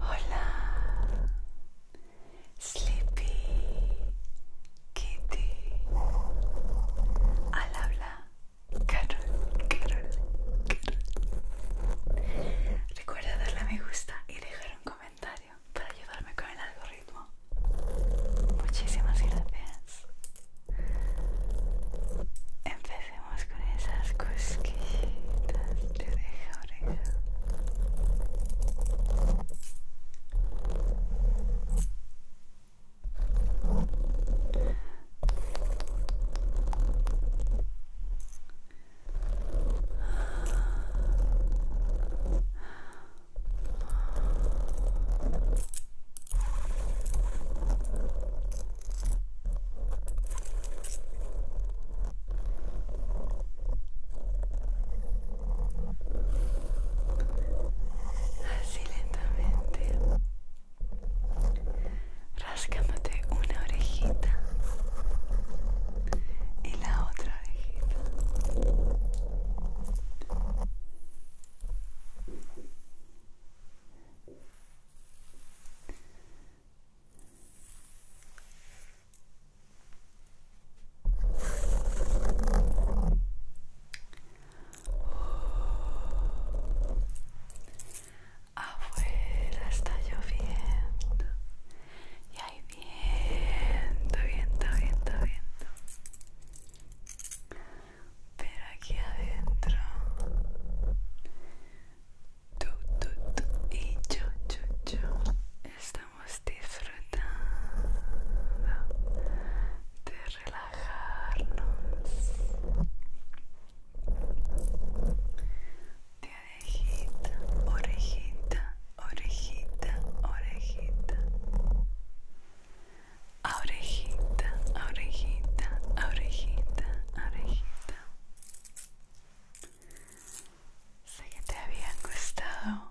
Hola, Sleepy Kitty. Al habla, Carol, Carol, Carol. Recuerda darle a me gusta y dejar un comentario para ayudarme con el algoritmo. Muchísimas gracias. Empecemos con esas cosquillitas de oreja oreja. Así lentamente, rascándote una orejita y la otra orejita. Abuela está lloviendo y hay viento, viento, viento, viento. Pero aquí adentro. Tú, tú, tú y yo, yo, yo. Estamos disfrutando de relajarnos. De orejita, orejita orejita, orejita, orejita, orejita, orejita, orejita. Sé que te habían gustado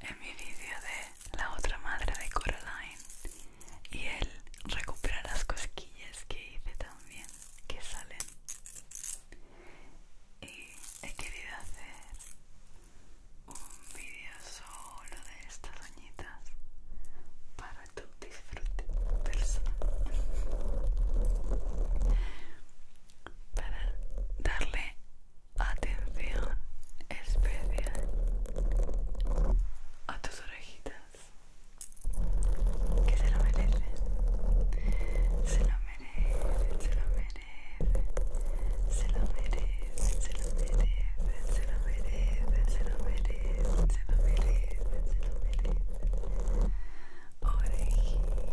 en mi vídeo de la otra madre de Coraline y el recuperar las cosquillas que hice también que salen y he querido hacer un vídeo solo de estas doñitas para tu disfrute personal para darle atención especial a tus orejitas que se lo merecen se lo merecen, se lo merecen se lo merece se lo merece se lo merece se lo merece se lo merece se lo merece Orejita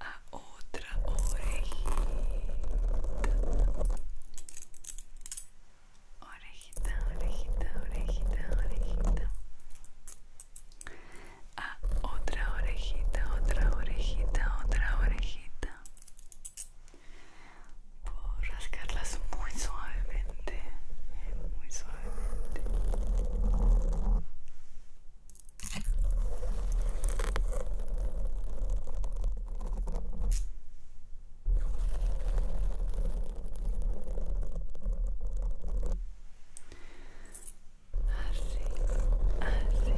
a otra orejita. Orejita, orejita, orejita, orejita. Ah, otra orejita, otra orejita, otra orejita. por rascarlas muy suavemente, muy suavemente así, así, así. see,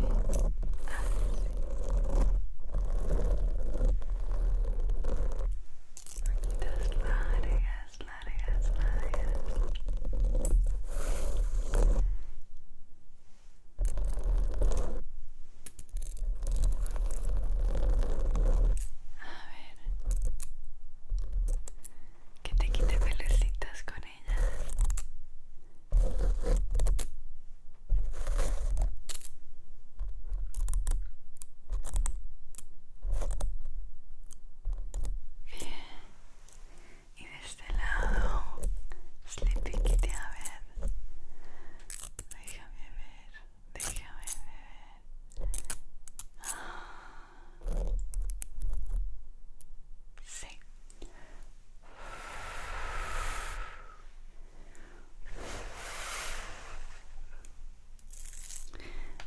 largas, largas, largas. A ver. Que te quite con Bien. Y de este lado, Sleepy Kitty, a ver. Déjame ver, déjame ver. Ah. Sí.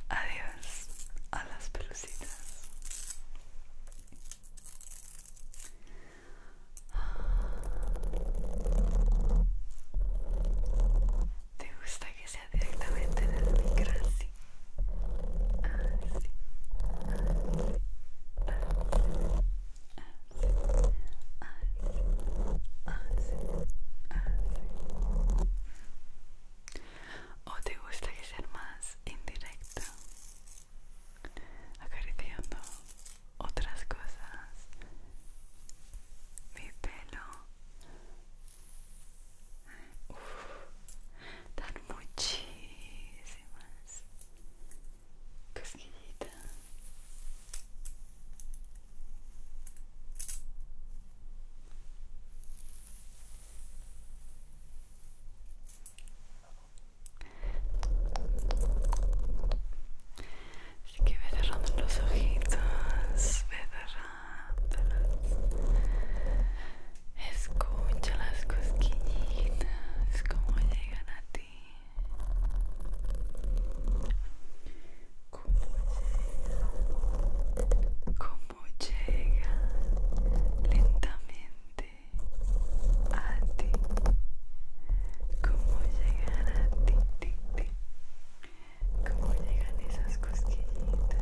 Adiós a las pelucitas. ¿Te gusta que sea directamente del migración. ¿O te gusta que sea más indirecto? Acariciando otras cosas, mi pelo. Uf, Tan muchísimas, Casquillita. Así que ve cerrando los ojitos, ve cerrándolos Escucha las cosquillitas como llegan a ti. Cómo llegan, cómo llegan lentamente a ti. Cómo llegan a ti, ti, ti. Cómo llegan esas cosquillitas.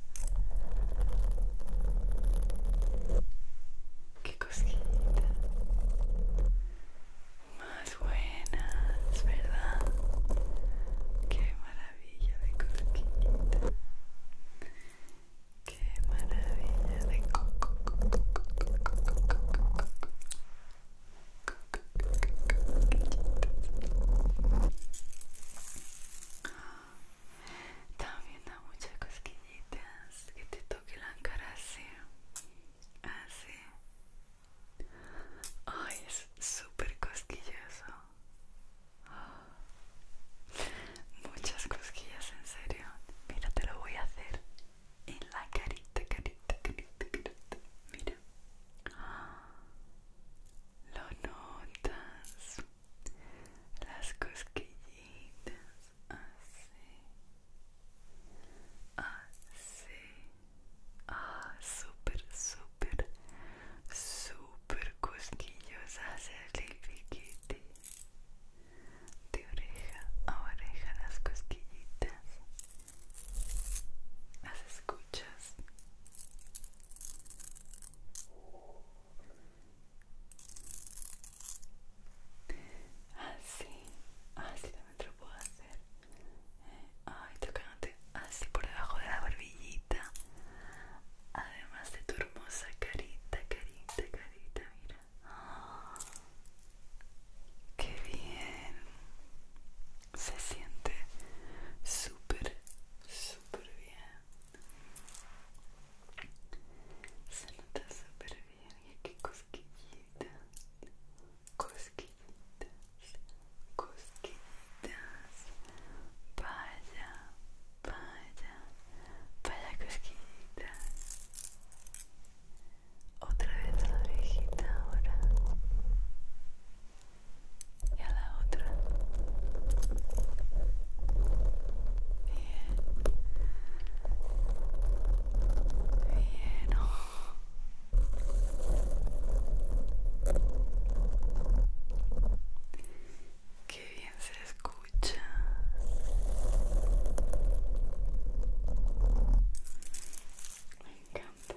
Qué cosquillita. Más buenas, ¿verdad? Qué maravilla de cosquita Qué maravilla de coco. También da muchas cosquillitas que te toque la cara así. Así. Ay, es súper cosquilloso. Muchas cosquillas, en serio. Mira, te lo voy a hacer en la carita, carita, carita, Mira. Lo notas las cosquillitas así así ah súper súper súper cosquillosas el piquete de oreja a oreja las cosquillitas las escuchas Así, ah, así ah, también te lo puedo hacer. Eh, ay, tocándote así por debajo de la barbillita. Además de tu hermosa carita, carita, carita, mira. ¡Qué bien! Se siente súper, súper bien. Se nota súper bien y aquí cosquillitas, cosquillitas, cosquillitas. Vaya, vaya, vaya cosquillitas. Otra vez a la orejita ahora. Y a la otra. Bien. Bien. Oh. Qué bien se escucha. Me encanta.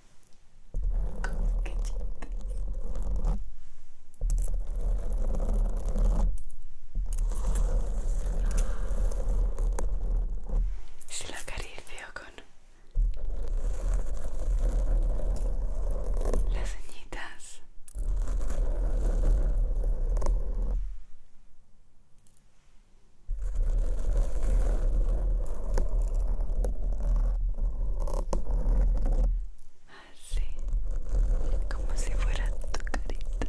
Si la acaricio con las ceñitas. Así como si fuera tu carita.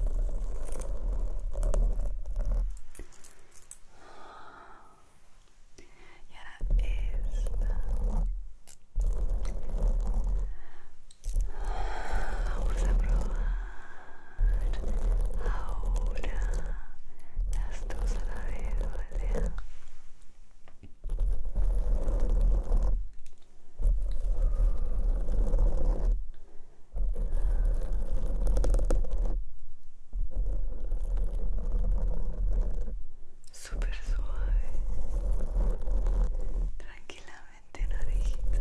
Y ahora esta. Vamos a probar ahora las dos a la vez super suave, tranquilamente orejita.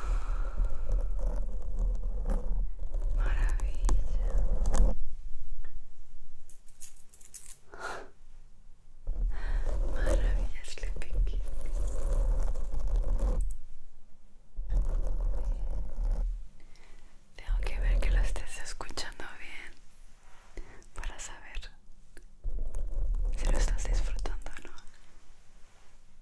Maravilla. Maravilla, Sleeping Tengo que ver que lo estés escuchando bien para saber si lo estás disfrutando o no.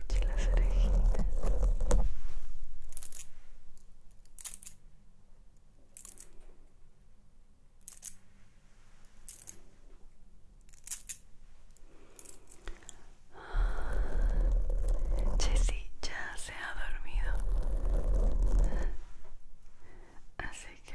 escuché las orejitas. Jessie ya se ha dormido, así que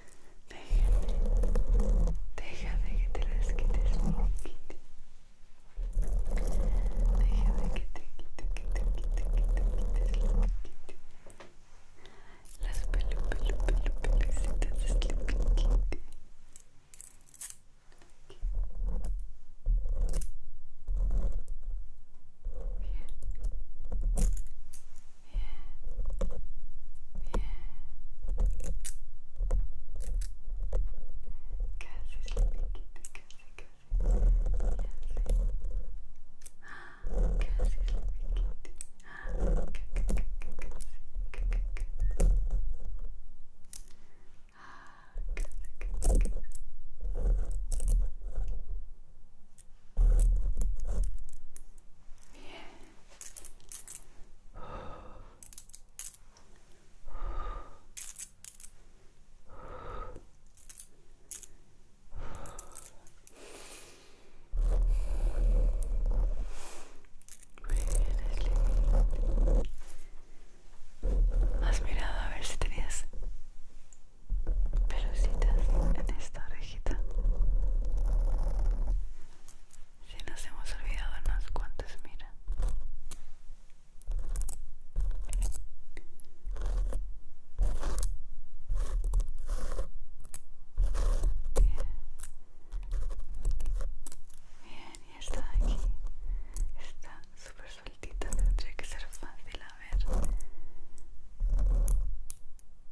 Déjame, déjame que te las quites, Déjame que te quites, que te quites, que te quites, Las pelu, pelu, pelu, pelucitas Bien bien. Casi sleepyquita, casi, casi. Ya sé. Casi sleepyquita. Ah, casi, casi, casi. Has mirado a ver si tenías te en esta orejita. Si nos hemos olvidado unas cuantas mira. Bien. y está aquí. Está súper sueltita, tendría que ser fácil a ver.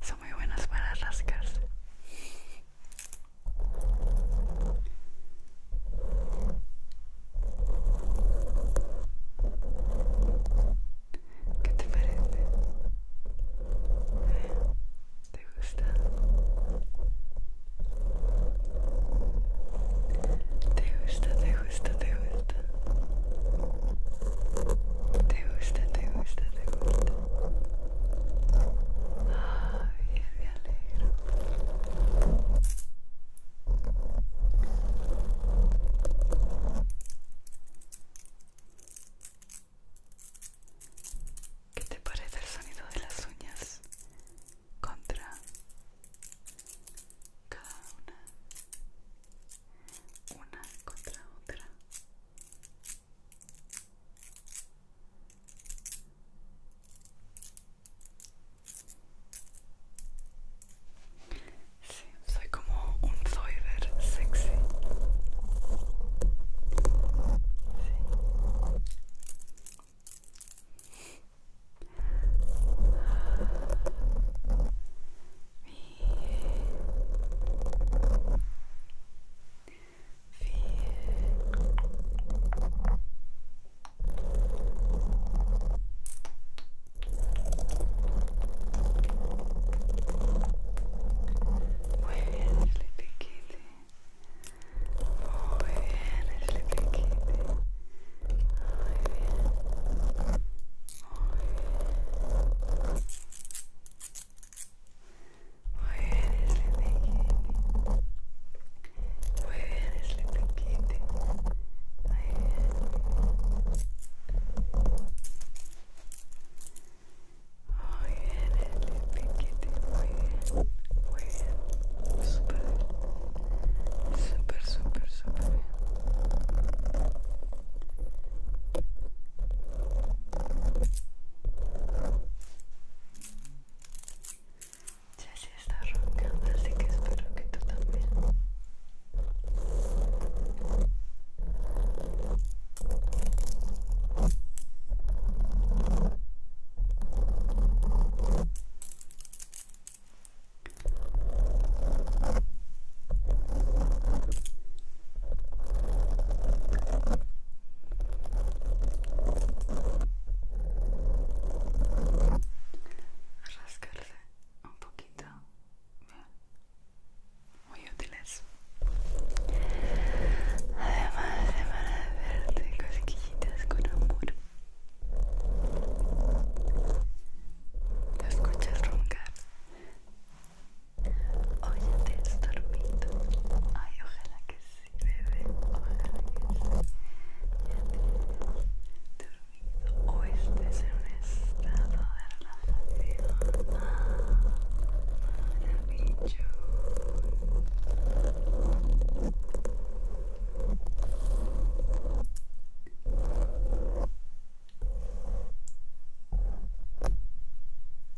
son muy buenas para rascarse ¿Qué te parece? ¿Te gusta? ¿Te gusta? ¿Te gusta? ¿Te gusta? Te gusta, te gusta, te gusta. Ay, bien, me alegro. ¿Qué te parece el sonido de las uñas contra cada una? Una contra otra. Sí, soy como un zoiber sexy. Sí bien, Muy bien, Sleepy Kitty. Muy bien. Muy Muy bien, Sleepy Muy bien. Muy bien, Muy bien. Muy bien. Súper Súper, súper, súper Ya se está roncando, así que espero que tú también rascarse un poquito muy útiles además se van a cosquillitas con amor las escuchas roncar ya te has dormido. Ay, ojalá que sí, bebé. Ojalá que sí. Ya te has dormido. O estés en un estado de relajación. Ah, maravilloso.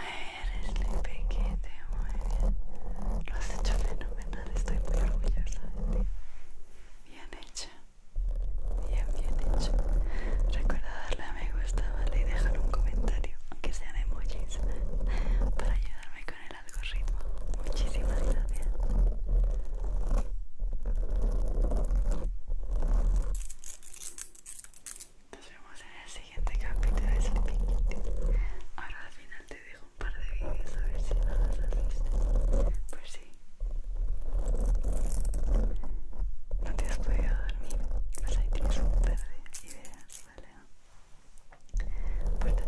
Eres muy pequeño, muy bien. Lo has hecho fenomenal, estoy muy orgullosa de ti. Bien hecho bien, bien hecho Recuerda darle a me gusta, ¿vale? Y dejar un comentario, aunque sean emojis, para ayudarme con el algoritmo. Muchísimas gracias. Nos vemos en el siguiente capítulo de Sleeping Ahora al final te dejo un par de vídeos a ver si no los has visto. Pues sí no te has podido dormir, vas ahí tienes un ¿vale?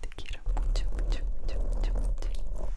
Te quiero mucho, mucho, mucho, mucho.